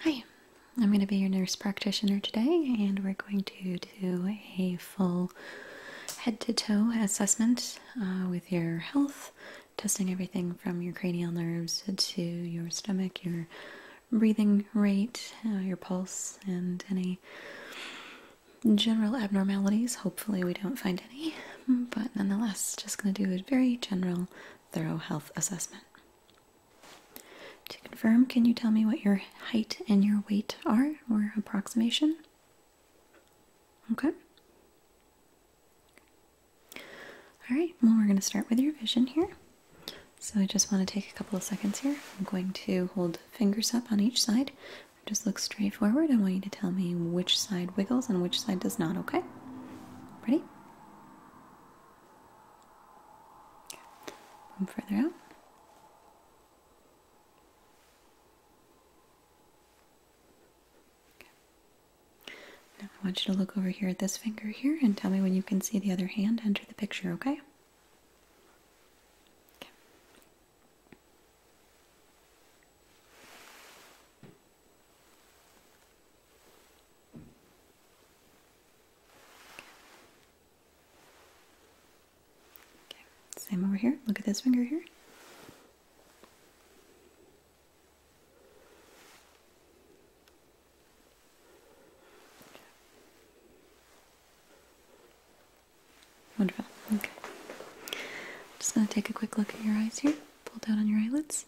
Hi, I'm going to be your nurse practitioner today, and we're going to do a full head to toe assessment uh, with your health, testing everything from your cranial nerves to your stomach, your breathing rate, uh, your pulse, and any general abnormalities. Hopefully, we don't find any, but nonetheless, just going to do a very general thorough health assessment. To confirm, can you tell me what your height and your weight are or approximation? Okay. All right, well, we're going to start with your vision here. So I just want to take a couple of seconds here. I'm going to hold fingers up on each side. Just look straight forward. I want you to tell me which side wiggles and which side does not, okay? Ready? further out. Now I want you to look over here at this finger here and tell me when you can see the other hand enter the picture, Okay. Same over here. Look at this finger here. Wonderful. Okay. just going to take a quick look at your eyes here. Pull down on your eyelids.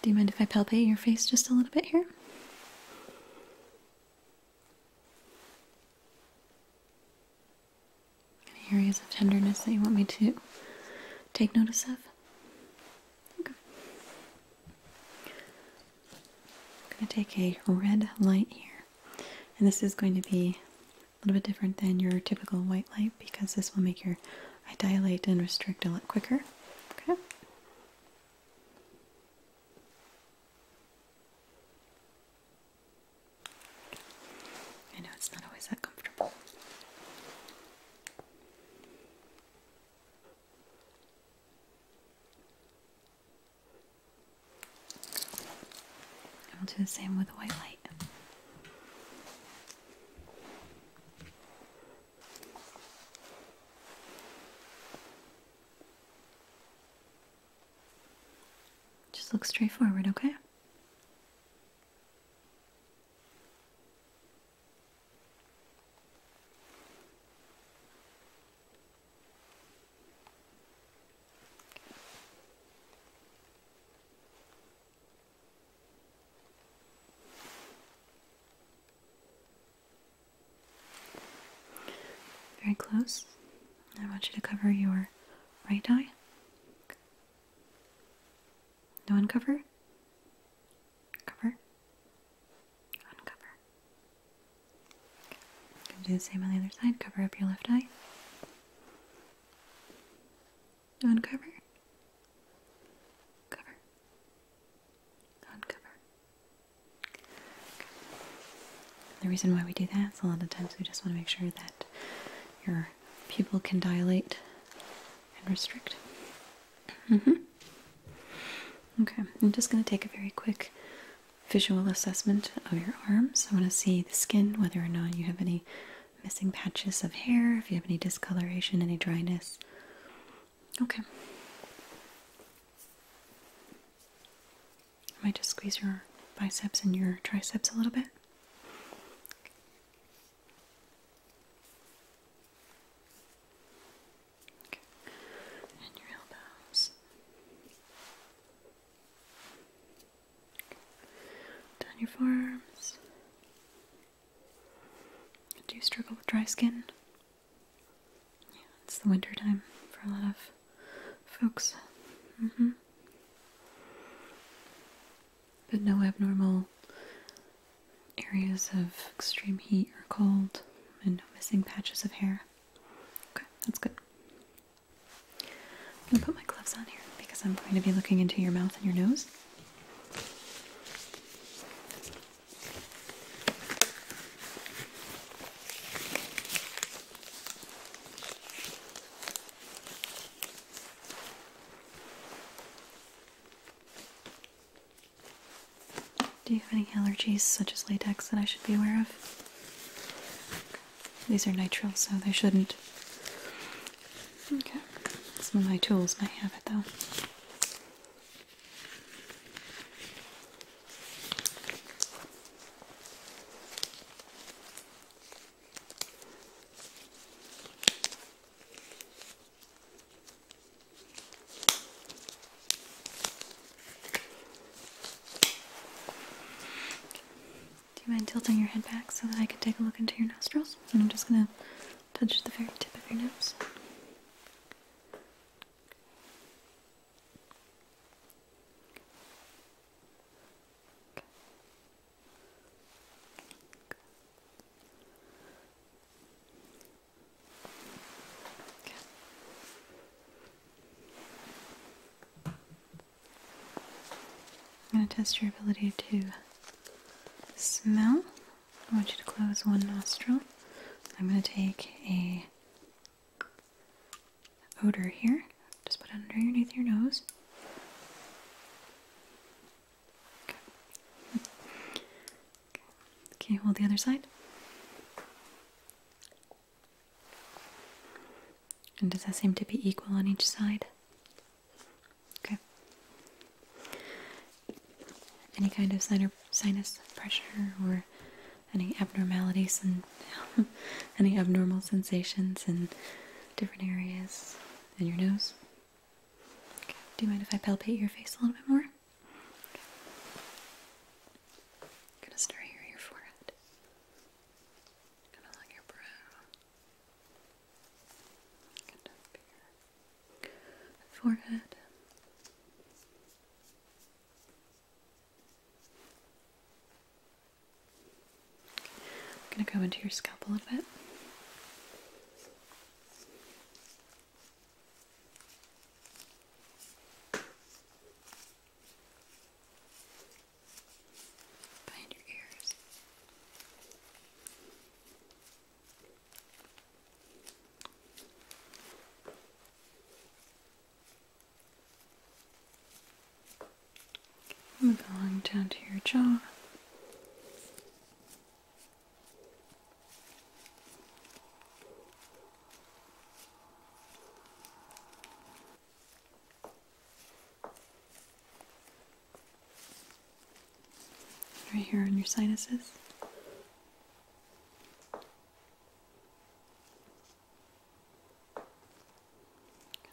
Do you mind if I palpate your face just a little bit here? Any areas of tenderness that you want me to take notice of? I'm going to take a red light here, and this is going to be a little bit different than your typical white light because this will make your eye dilate and restrict a lot quicker. Okay. I know it's not always that comfortable we'll do the same with the white light. Just look straight forward, okay? Very close. I want you to cover your right eye. No uncover. Cover. Uncover. do the same on the other side. Cover up your left eye. Uncover. Cover. Uncover. The reason why we do that is a lot of times we just want to make sure that your pupil can dilate and restrict. -hmm. Okay, I'm just going to take a very quick visual assessment of your arms. I want to see the skin, whether or not you have any missing patches of hair, if you have any discoloration, any dryness. Okay. I might just squeeze your biceps and your triceps a little bit. Okay. And your elbows. Down your forearms. Do you struggle with dry skin? Yeah, it's the wintertime for a lot of folks. Mm-hmm. But no abnormal areas of extreme heat or cold, and no missing patches of hair. Okay, that's good. I'm gonna put my gloves on here because I'm going to be looking into your mouth and your nose. Do you have any allergies such as latex that I should be aware of? These are nitrile, so they shouldn't. Okay. Some of my tools might have it though. Do you mind tilting your head back so that I can take a look into your nostrils? And I'm just going to touch the very tip of your nose. I'm going to test your ability to smell. I want you to close one nostril. I'm going to take a odor here. Just put it underneath your nose. Okay. okay. Can hold the other side? And does that seem to be equal on each side? Okay. Any kind of sinus pressure or any abnormalities and any abnormal sensations in different areas in your nose? Okay. Do you mind if I palpate your face a little bit more? I'm gonna start here, your forehead. Kind of like your brow. Forehead. I'm going to go into your scalp a little bit. Behind your ears. I'm down to your jaw. Right here on your sinuses.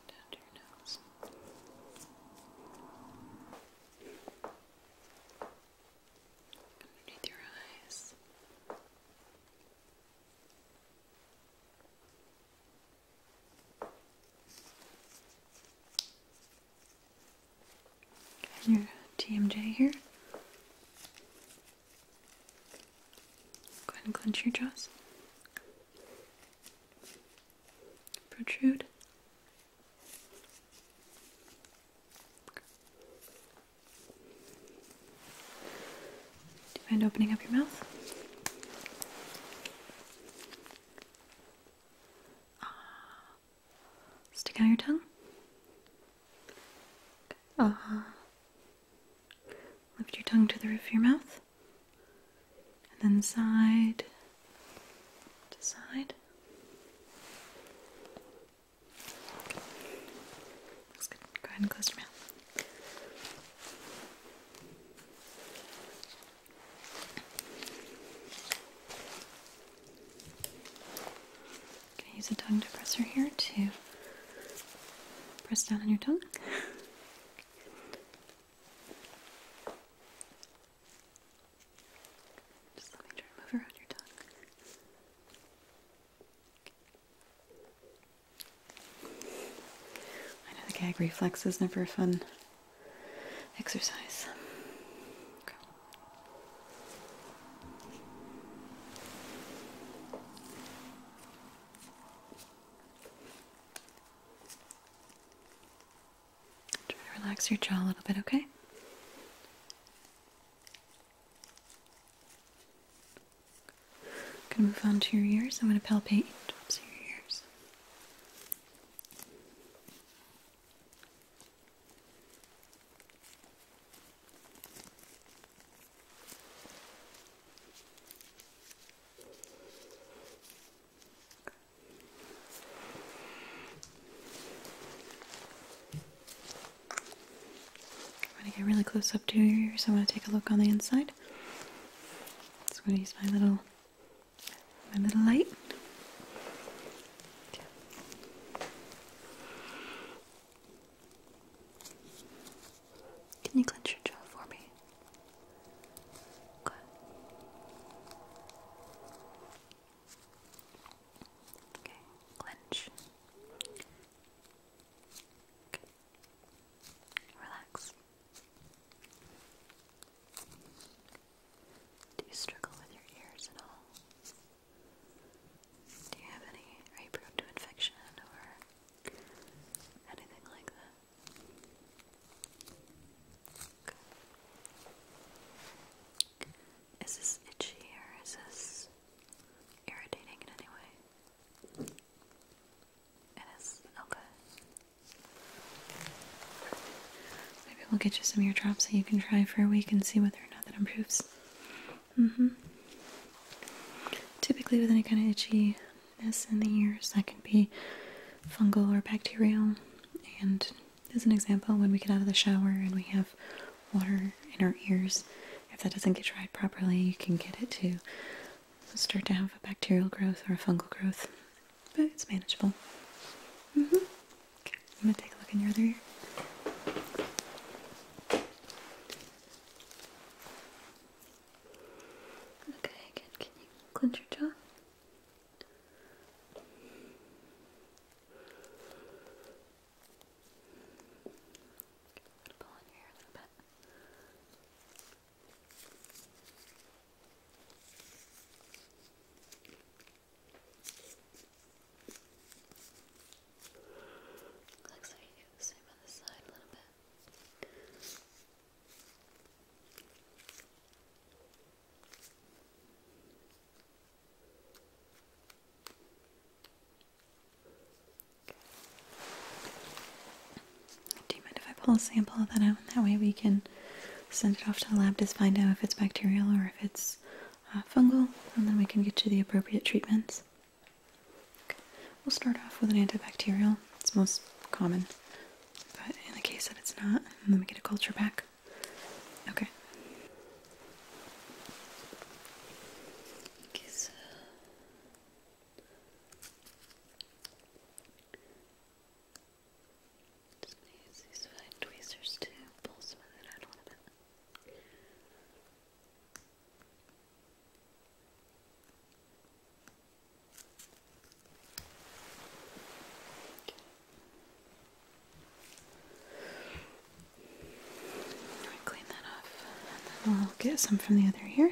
down to your nose. Underneath your eyes. And your TMJ here. Go ahead and clench your jaws. Protrude. Do you mind opening up your mouth? Ah. Stick out your tongue. Ah. Lift your tongue to the roof of your mouth. And then side to side. Go ahead and close your mouth. I'm going to use a tongue depressor here to press down on your tongue. Just let me try to move around your tongue. I know the gag reflex is never a fun exercise. Try to relax your jaw a little bit, okay? I'm gonna move on to your ears. I'm gonna palpate tops of your ears. I'm going to get really close up to your ears. I'm to take a look on the inside. So I'm gonna use my little my little light. Can you clench your jaw for me? Good. Okay, clench. Okay. Relax. Do you struggle with your ears at all? Do you have any? Are you prone to infection or anything like that? Is this itchy or is this irritating in any way? It is? Okay. Maybe we'll get you some ear drops that you can try for a week and see whether or not that improves. Mm-hmm. Typically with any kind of itchiness in the ears, that can be fungal or bacterial. And as an example, when we get out of the shower and we have water in our ears, if that doesn't get dried properly, you can get it too start to have a bacterial growth or a fungal growth, but it's manageable. Mm-hmm. Okay, I'm gonna take a look in your other ear. Okay, again, can you clench your jaw? pull on your hair a little bit. Looks like you do the same on this side a little bit. Okay. Do you mind if I pull a sample of that out? That way we can send it off to the lab to find out if it's bacterial or if it's uh, fungal, and then we can get you the appropriate treatments. Okay. We'll start off with an antibacterial. It's most common, but in the case that it's not, let me get a culture back. Okay. Just going these tweezers to pull some of that out a little bit. Okay. Clean that off, and then I'll get some from the other here.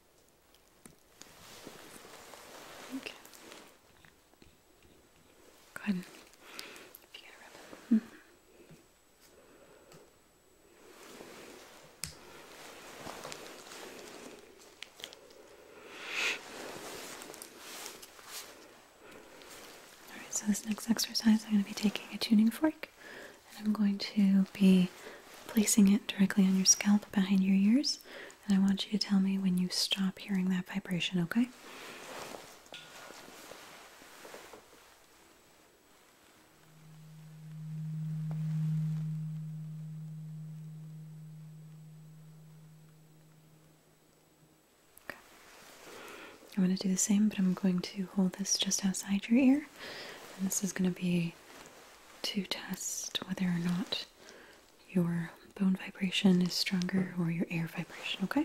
Okay. Go ahead. Mm-hmm. so this next exercise, I'm going to be taking a tuning fork and I'm going to be placing it directly on your scalp behind your ears. And I want you to tell me when you stop hearing that vibration, okay? Okay. I'm going to do the same, but I'm going to hold this just outside your ear. And this is going to be to test whether or not your bone vibration is stronger or your air vibration, okay?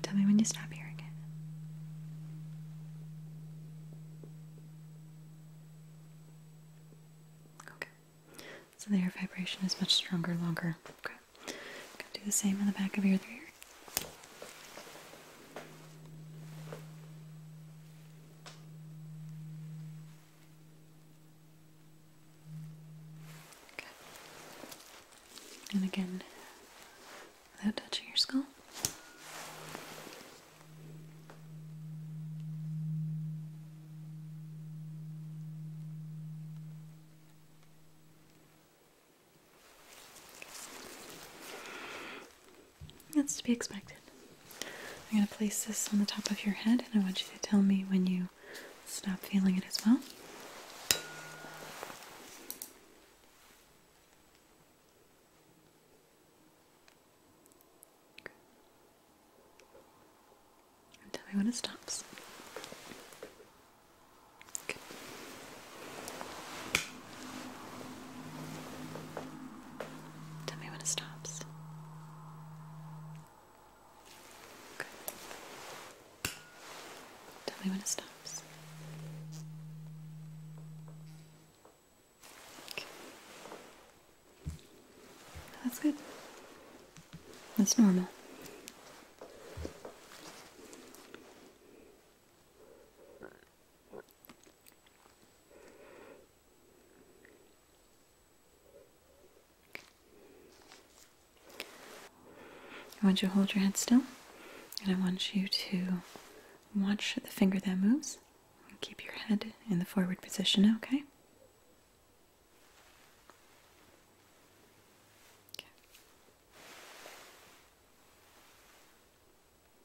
tell me when you stop hearing it. Okay. So the air vibration is much stronger, longer. Okay. do the same on the back of your ear. Okay. And again, without touching your skull. That's to be expected. I'm going to place this on the top of your head and I want you to tell me when you stop feeling it as well. tell me when it stops. Tell me when it stops. Good. Tell me when it stops. Okay. That's good. That's normal. I want you to hold your head still, and I want you to watch the finger that moves. And keep your head in the forward position, okay?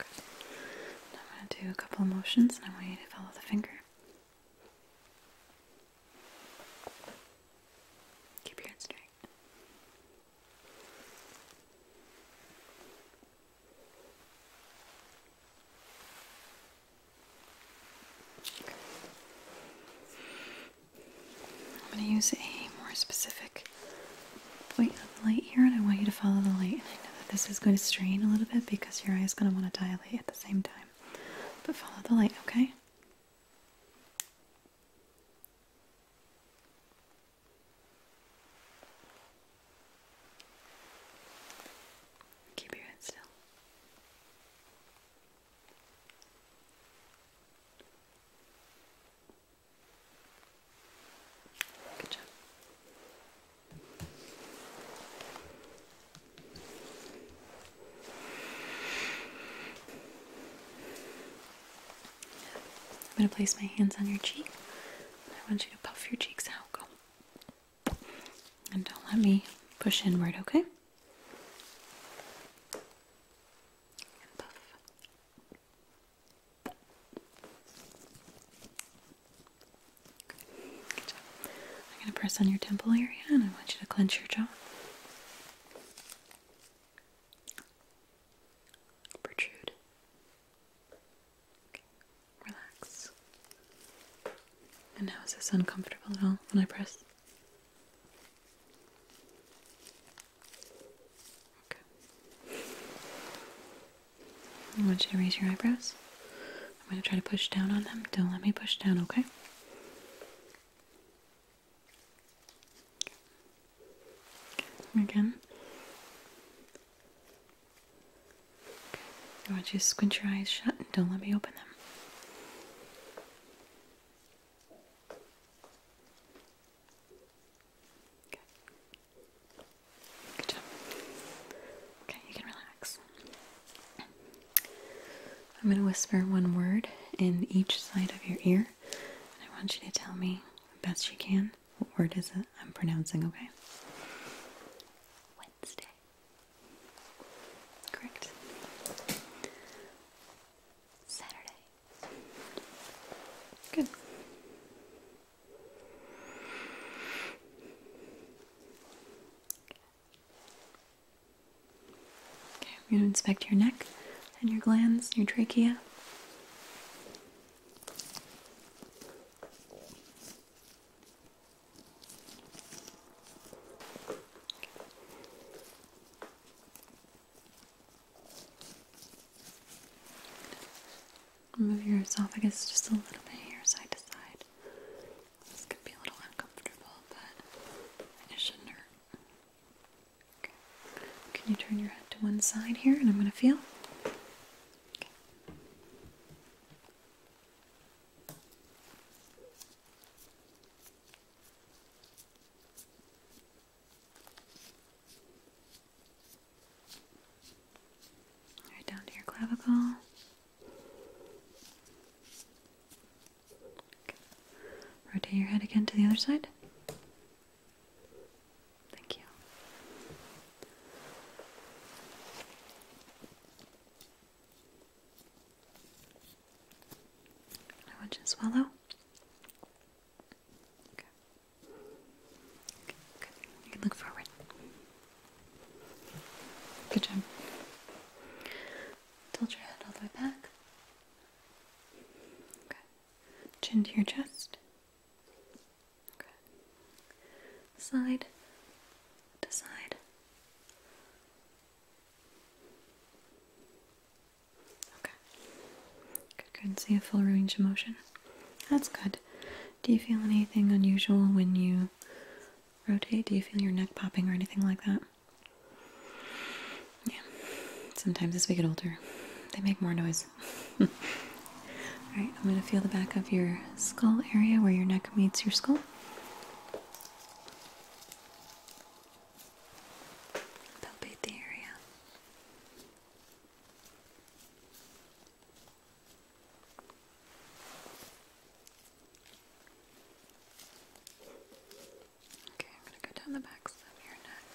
I'm going to do a couple of motions and I want you to follow the finger. Keep your head straight. I'm going to use a more specific point of the light here and I want you to follow the light. And I know that this is going to strain a little bit because your eye is going to want to dilate at the same time. But follow the light, okay? Keep your head still. I'm going to place my hands on your cheek. I want you to puff your cheeks out. Go. And don't let me push inward, okay? I'm going to press on your temple area and I want you to clench your jaw. Protrude. Relax. And how is this uncomfortable at all when I press? I want you to raise your eyebrows. I'm going to try to push down on them. Don't let me push down, okay? Again. I want you to squint your eyes shut and don't let me open them. Good job. Okay, you can relax. I'm going to whisper one word in each side of your ear, and I want you to tell me best you can what word is it I'm pronouncing, okay? Wednesday. Correct. Saturday. Good. Okay, I'm going to inspect your neck and your glands, your trachea. Move your esophagus just a little bit here, side to side. This could be a little uncomfortable, but it shouldn't hurt. Okay. Can you turn your head to one side here and I'm going to feel? Right down to your clavicle. Rotate your head again to the other side. Thank you. I want you to swallow. Okay. Good. You look forward. Good job. Tilt your head all the way back. Okay. Chin to your chest. Okay. Side to side. Okay. Good, good. See a full range of motion. That's good. Do you feel anything unusual when you rotate? Do you feel your neck popping or anything like that? Yeah. Sometimes as we get older, they make more noise. Alright, I'm going to feel the back of your skull area where your neck meets your skull. Palpate the area. Okay, I'm going to go down the backs of your neck.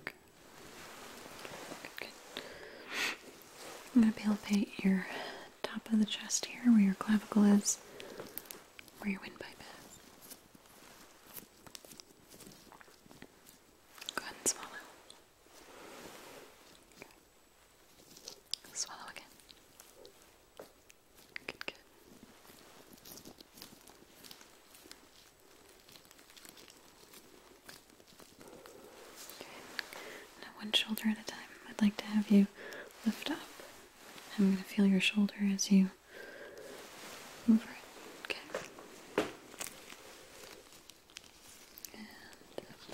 Okay. Good, good, good. I'm going to palpate your top of the chest here where your clavicle is, where your windpipe is. Go ahead and swallow. Swallow again. Good, good one shoulder at a time. I'd like to have you lift up. I'm gonna feel your shoulder as you move it. Okay. And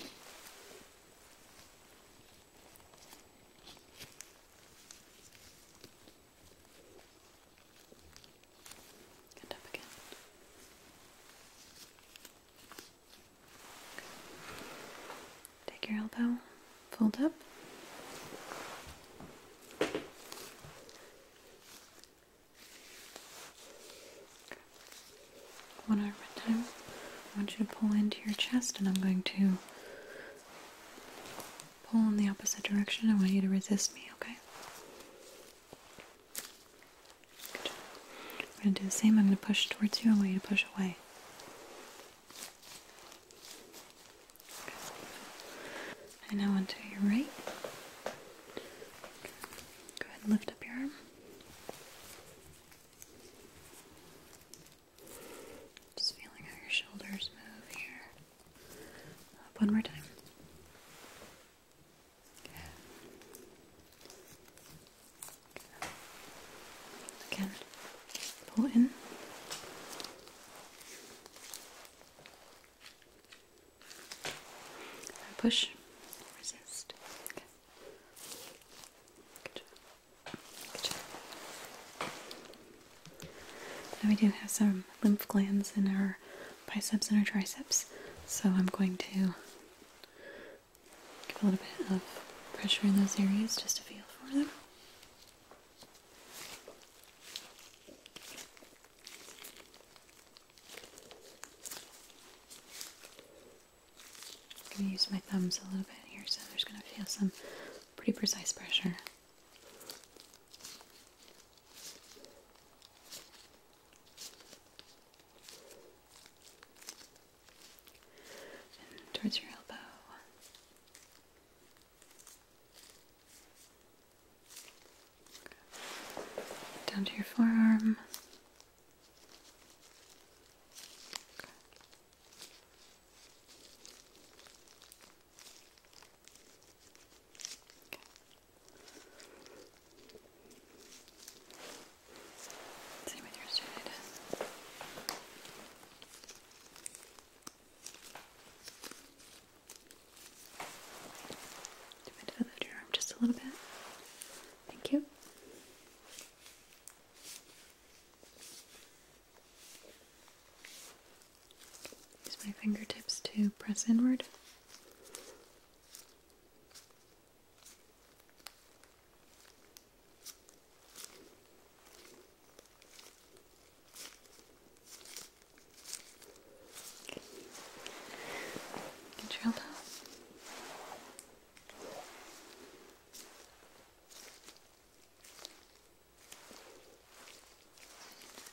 up again. Take your elbow, fold up. One arm at a time. I want you to pull into your chest, and I'm going to pull in the opposite direction. I want you to resist me, okay? I'm going to do the same. I'm going to push towards you I want you to push away. And now onto your right. Go ahead and lift up your arm. Just feeling how your shoulders move here. Up one more time. Again, pull in. push, resist. Good job. Good job. Now we do have some lymph glands in our biceps and our triceps, so I'm going to Give a little bit of pressure in those areas just to feel for them. I'm going to use my thumbs a little bit here, so there's going to feel some pretty precise pressure towards your elbow. Down to your forearm. Same with your side. Do it arm just a little bit. Thank you. Use my fingertips to press inward. Okay. Control down.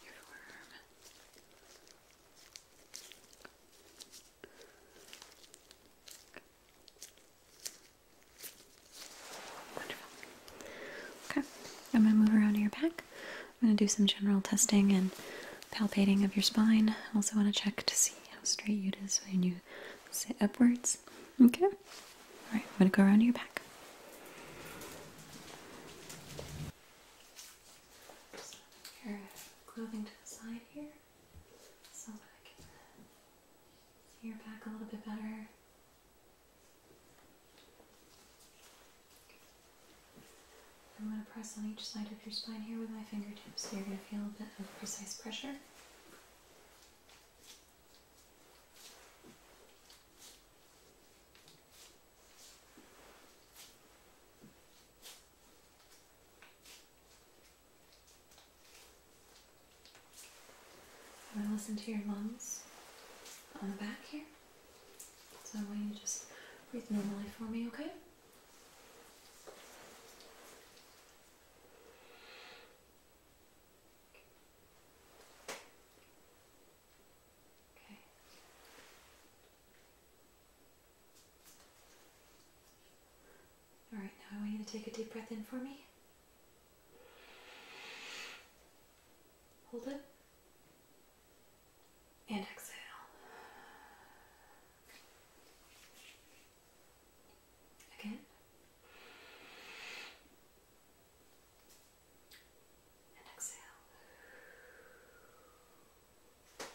Your forearm. Okay, I'm going to move around your back. I'm going to do some general testing and palpating of your spine. I also want to check to see how straight it is when you sit upwards. Okay? Alright, I'm going to go around your back so that I can see your back a little bit better. I'm going to press on each side of your spine here with my fingertips, so you're going to feel a bit of precise pressure. I'm to listen to your lungs on the back here. So I want you to just breathe normally for me, okay? Okay. All right, now I want you to take a deep breath in for me. Hold it. And exhale. Again. And exhale. Okay.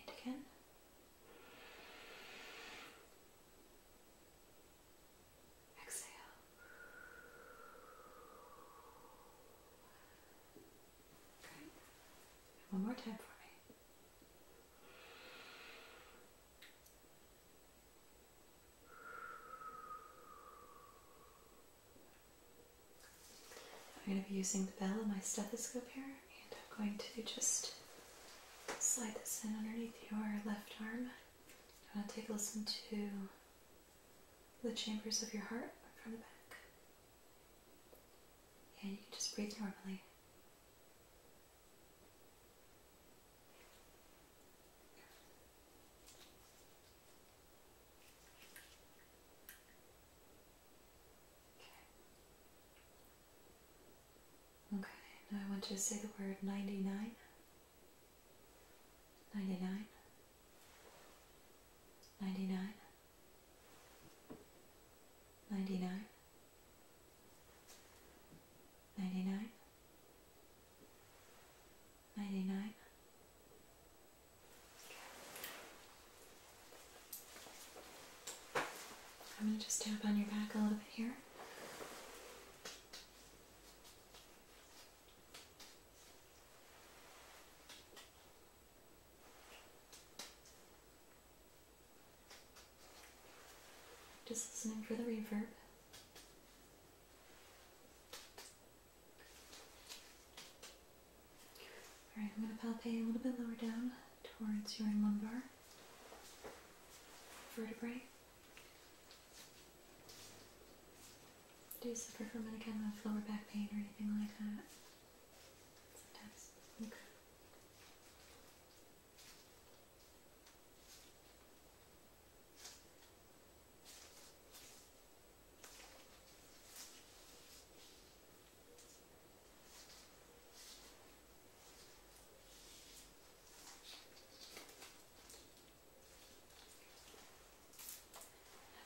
And again. Exhale. Okay. One more time for me. I'm going to be using the bell of my stethoscope here, and I'm going to just slide this in underneath your left arm. I'm take a listen to the chambers of your heart from the back. And you can just breathe normally. Okay, now I want you to say the word 99. 99. 99. 99. 99. I'm going to just tap on your back a little bit here. Just listening for the reverb. Alright, I'm going to palpate a little bit lower down towards your lumbar vertebrae. Do you suffer from any kind of lower back pain or anything like that? Sometimes. Okay.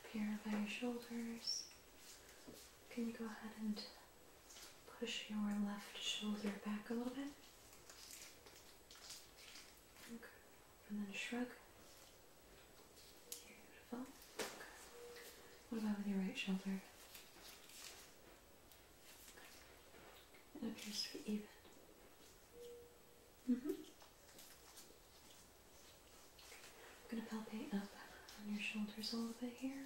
Up here by your shoulders, can you go ahead and push your left shoulder back a little bit? And then shrug. What about with your right shoulder? It appears to be even. Mm -hmm. I'm going to palpate up on your shoulders a little bit here,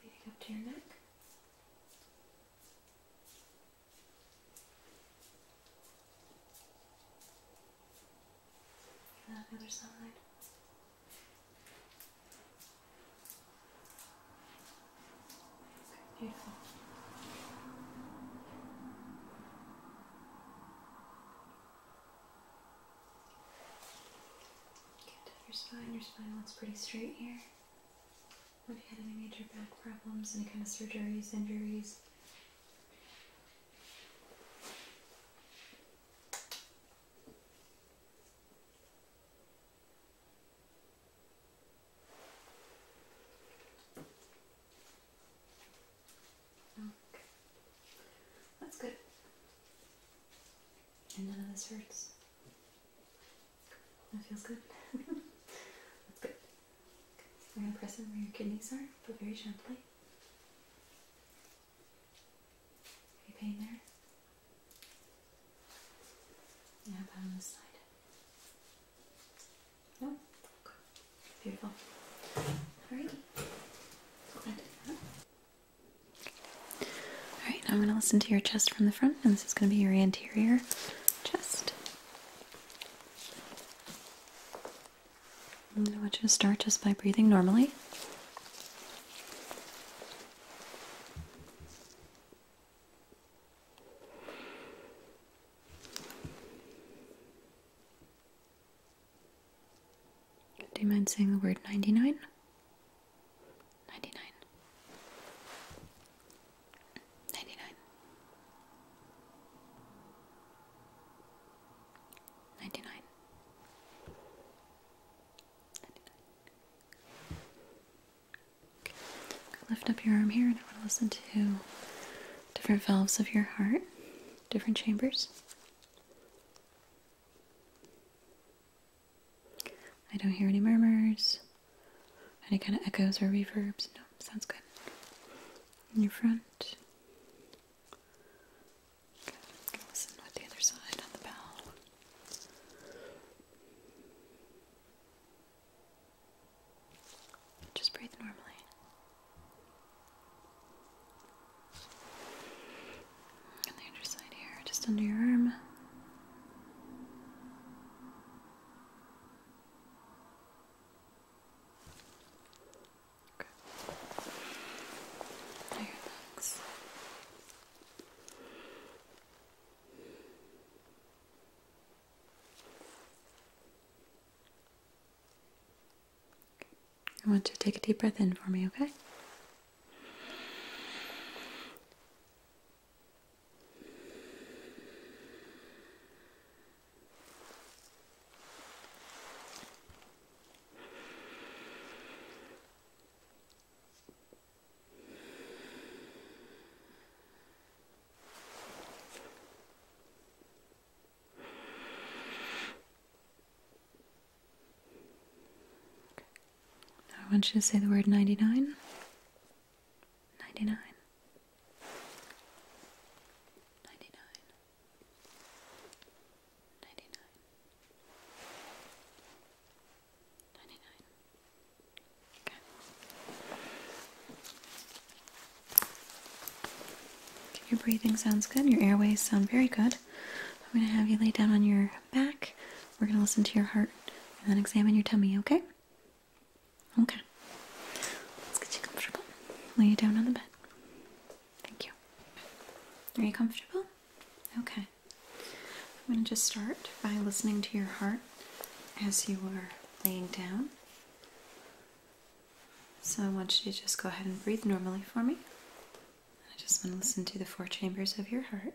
leading up to your neck. And on the other side. Okay, beautiful. Get your spine. Your spine looks pretty straight here. Have you had any major back problems, any kind of surgeries, injuries? That's good. And none of this hurts. That feels good. That's good. I'm going to press it where your kidneys are, but very gently. You pain there? Yeah, about on this side. No? Beautiful. Alright. Alright, I'm going to listen to your chest from the front, and this is going to be your anterior chest. I want you to start just by breathing normally. Do you mind saying the word 99? 99. 99. 99. Lift up your arm here, and I want to listen to different valves of your heart, different chambers. I don't hear any murmurs, any kind of echoes or reverbs. No, sounds good. In your front, just breathe normally. On the underside here, just under your arm. I want you to take a deep breath in for me, okay? I want you to say the word ninety nine. Ninety nine. Ninety nine. Your breathing sounds good. Your airways sound very good. I'm going to have you lay down on your back. We're going to listen to your heart and then examine your tummy, okay? Okay. Let's get you comfortable. Lay you down on the bed. Thank you. Are you comfortable? Okay. I'm going to just start by listening to your heart as you are laying down. So I want you to just go ahead and breathe normally for me. I just want to listen to the four chambers of your heart.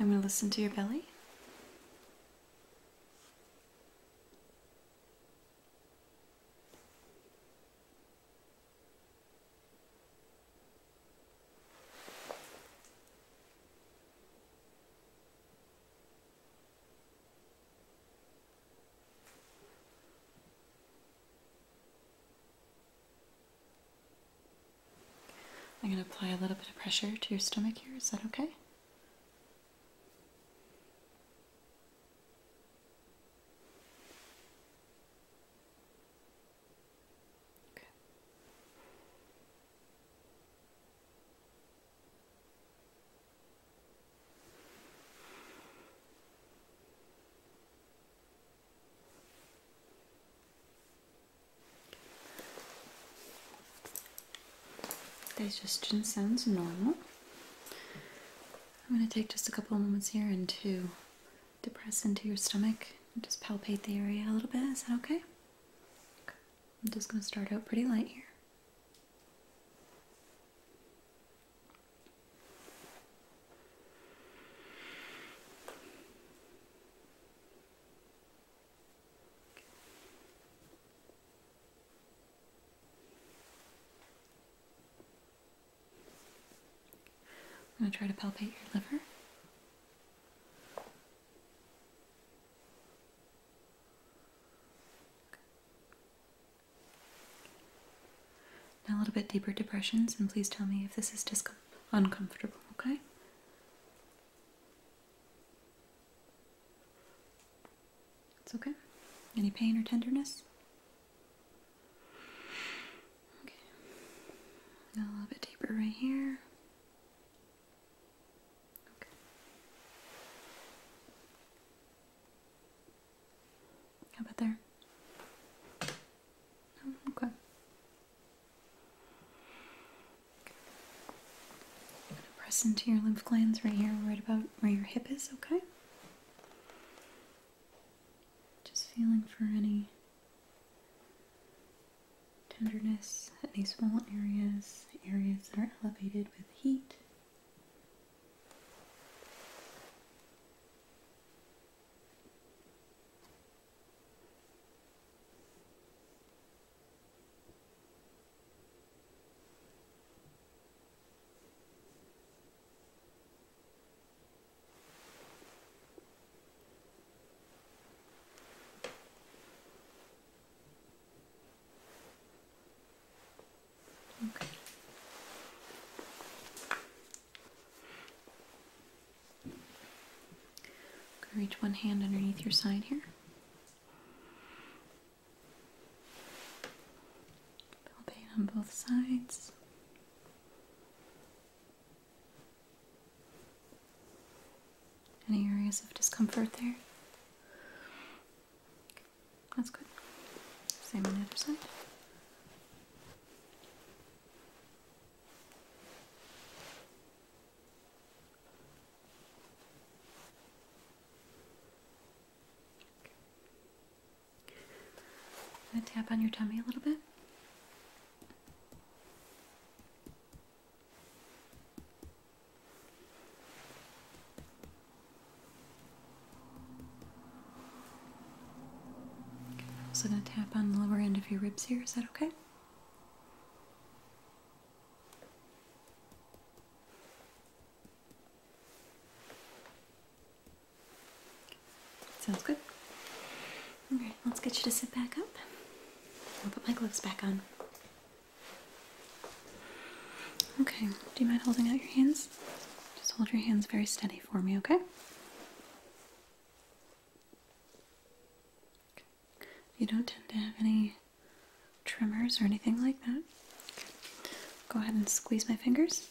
I'm going to listen to your belly. I'm going to apply a little bit of pressure to your stomach here. Is that okay? Digestion sounds normal. I'm going to take just a couple of moments here and to depress into your stomach just palpate the area a little bit. Is that okay. I'm just going to start out pretty light here. I'm going to try to palpate your liver. Now a little bit deeper depressions, and please tell me if this is discom uncomfortable, okay? It's okay. Any pain or tenderness? Okay. a little bit deeper right here. How about there? Oh, okay. I'm gonna press into your lymph glands right here, right about where your hip is, okay? Just feeling for any tenderness at any swollen areas, areas that are elevated with heat. Okay. reach one hand underneath your side here. Palpate on both sides. Any areas of discomfort there? that's good. Same on the other side. going to tap on your tummy a little bit. I'm also going to tap on the lower end of your ribs here. Is that okay? Sounds good. Alright, let's get you to sit back up. I'll put my gloves back on. Okay, do you mind holding out your hands? Just hold your hands very steady for me, okay? You don't tend to have any tremors or anything like that. Go ahead and squeeze my fingers.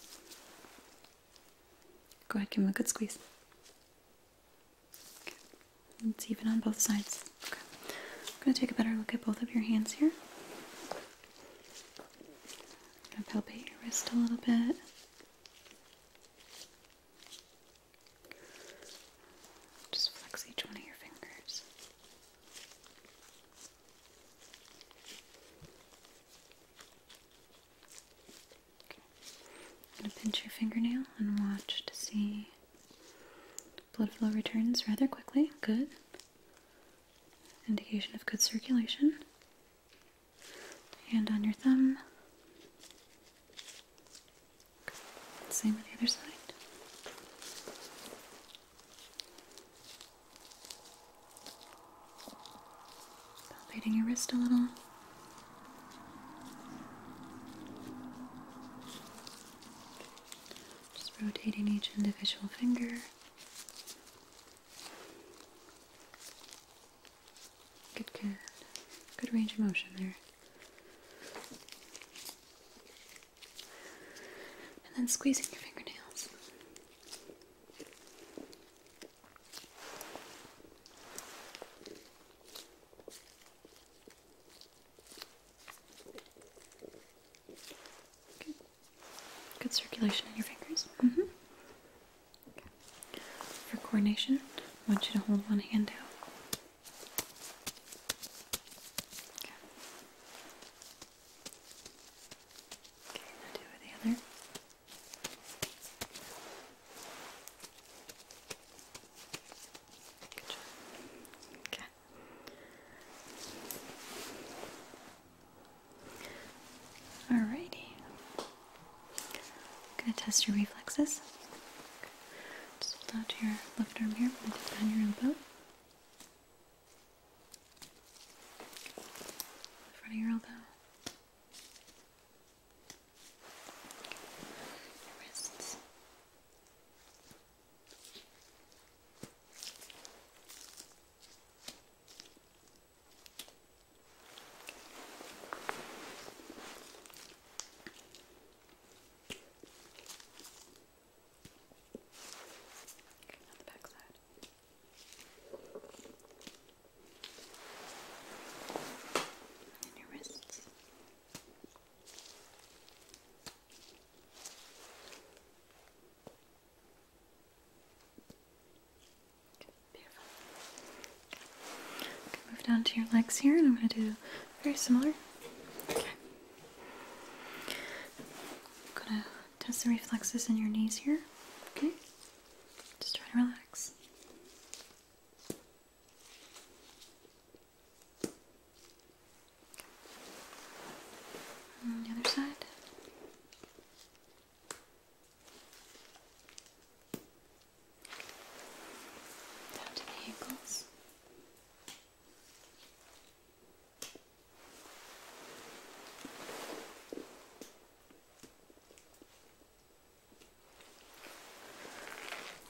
Go ahead, give them a good squeeze. It's even on both sides. I'm going to take a better look at both of your hands here. i going to palpate your wrist a little bit. Just flex each one of your fingers. going to pinch your fingernail and watch to see Blood flow returns rather quickly. Good. Indication of good circulation. Hand on your thumb. Same on the other side. Palpating your wrist a little. Just rotating each individual finger. Good, good. Good range of motion there. And then squeezing your fingernails. Good. circulation in your fingers. Mm-hmm. For coordination, I want you to hold one hand out. Okay. Okay, the other. Good job. Okay. Alrighty. I'm gonna test your reflexes. Just hold out your left arm here, put it down your elbow. front of your elbow. Your wrists. On the back side. And your wrists. Okay move down to your legs here, and I'm going to do very similar. Okay. I'm going to test the reflexes in your knees here. Okay. Just try to relax the other side. Down to the ankles.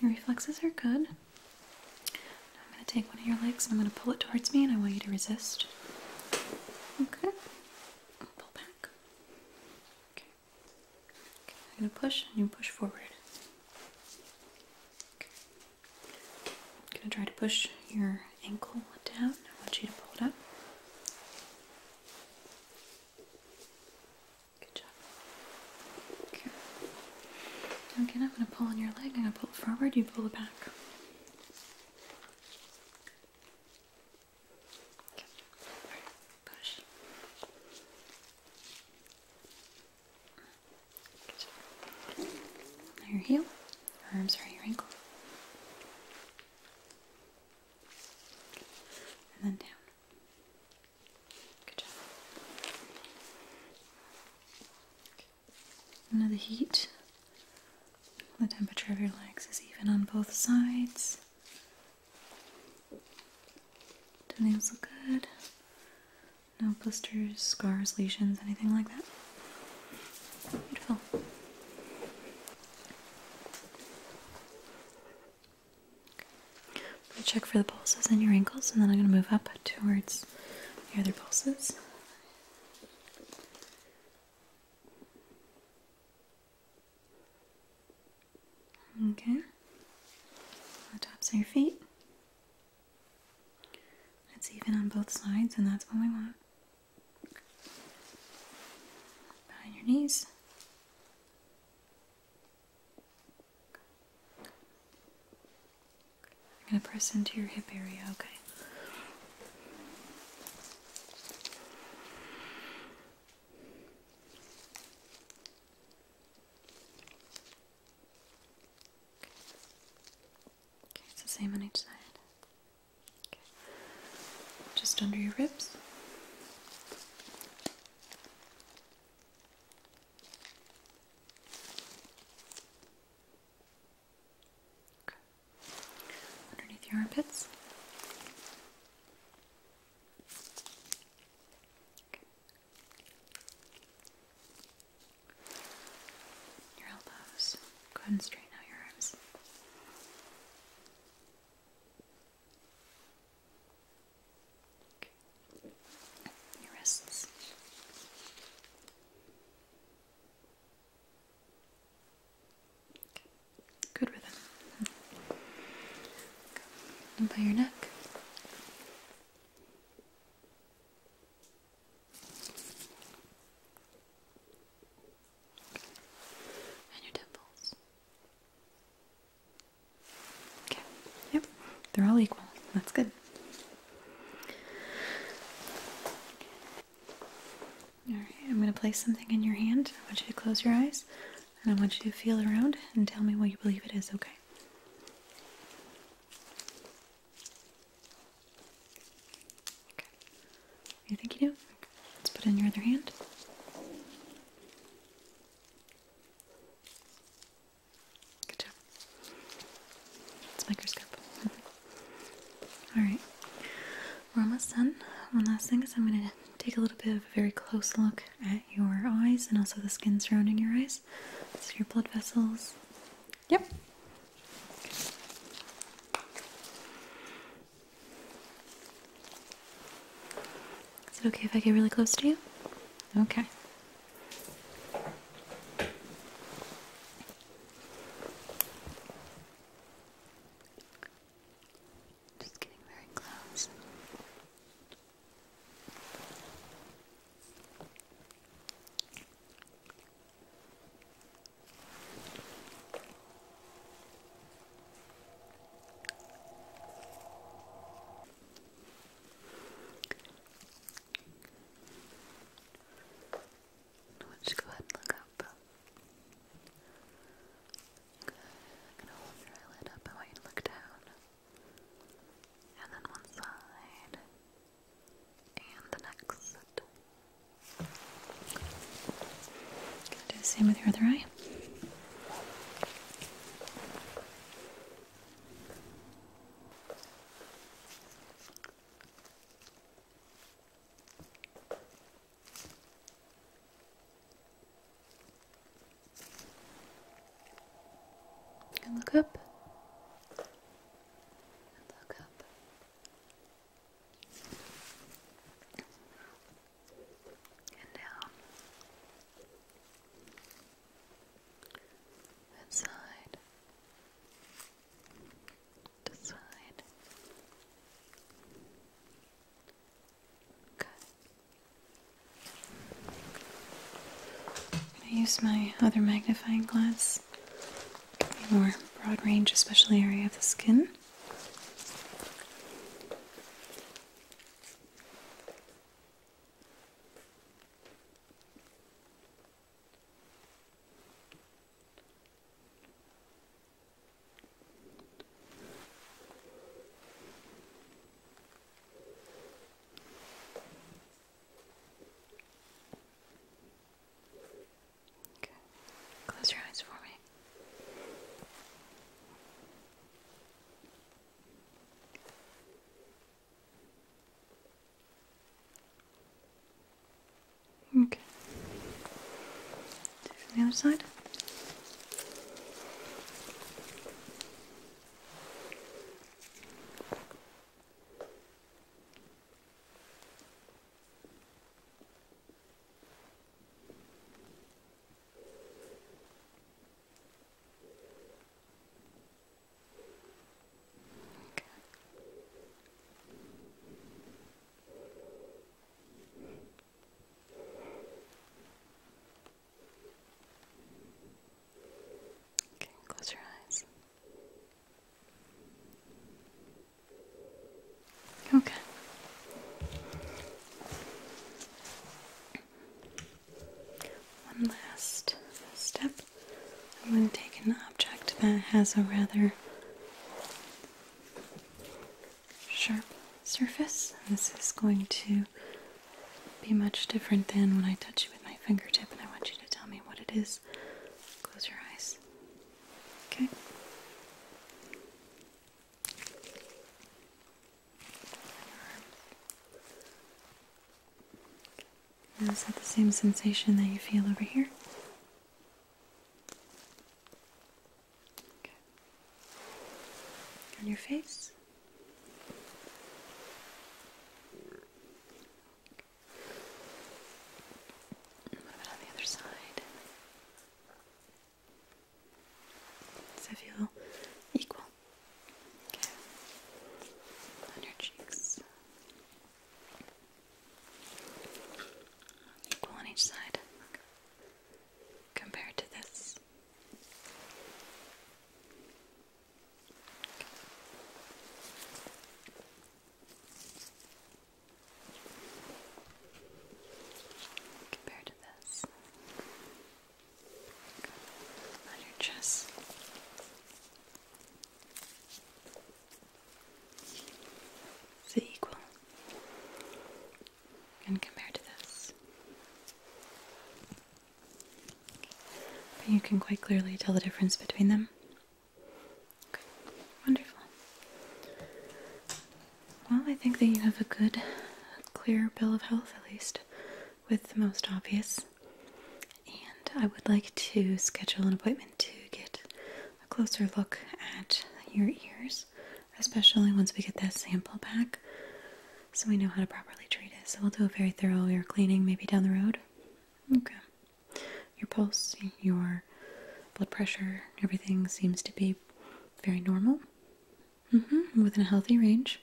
Your reflexes are good. I'm going to take one of your legs and I'm going to pull it towards me and I want you to resist. Okay. Pull back. okay. I'm going to push and you push forward. Okay. I'm going to try to push your ankle down. I want you to pull it up. Good job. Okay. Now again, I'm going to pull on your leg. I'm going to pull it forward, you pull it back. Okay. Push. Good. Now your heel, or I'm sorry, your ankle. And then down. Good the heat, the temperature of your legs is even on both sides. The nails look good. No blisters, scars, lesions, anything like that. Beautiful i check for the pulses in your ankles, and then I'm going to move up towards your other pulses. Okay, the tops of your feet. It's even on both sides, and that's what we want. Behind your knees, I'm going to press into your hip area, okay? Okay, it's the same on each side. Okay. Just under your ribs. Underneath your armpits. Your elbows. Go ahead and straighten out your arms your wrists. Good rhythm. And by your neck. And your temples. Okay. Yep. They're all equal. That's good. Alright, I'm going to place something in your hand. I want you to close your eyes and I want you to feel around and tell me what you believe it is, okay? You think you do? Let's put it in your other hand. Good job. It's microscope. Alright. We're almost done. One last thing is I'm going to take a little bit of a very close look at your eyes and also the skin surrounding your eyes. So your blood vessels. Yep. Is it okay if I get really close to you? Okay. Just getting very close. Let's go ahead and look up. Good. I'm gonna hold your eyelid up. I want you look down. And then one side. And the next. do the same with your other eye. And look up. look up. And down. Inside. side good I'm going to use my other magnifying glass more broad range especially area of the skin Close your eyes for me. Okay. the other side. Okay. close your eyes. Okay. One last step. I'm going to take an object that has a rather sharp surface. This is going to be much different than when I touch you with my fingertip, and I want you to tell me what it is. Close your eyes. Okay. And is that the same sensation that you feel over here? On your face? What about on the other side? Does it feel equal? On your cheeks. Equal on each side. Compared to this. Compared to this. On your chest. Is it equal? And compare to this. you can quite clearly tell the difference between them. wonderful. Well, I think that you have a good, clear bill of health at least with the most obvious. And I would like to schedule an appointment to get a closer look at your ears, especially once we get that sample back so we know how to properly treat it. So we'll do a very thorough ear cleaning maybe down the road. Okay. Your pulse, your blood pressure, everything seems to be very normal. Mm-hmm. Within a healthy range.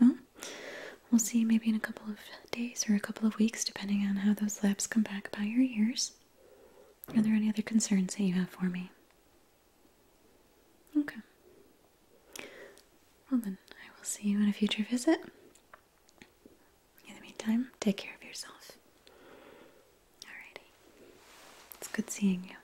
Well, we'll see maybe in a couple of days or a couple of weeks, depending on how those labs come back About your ears. Are there any other concerns that you have for me? Okay. Well, then, I will see you in a future visit. In the meantime, take care of yourself. Alrighty. It's good seeing you.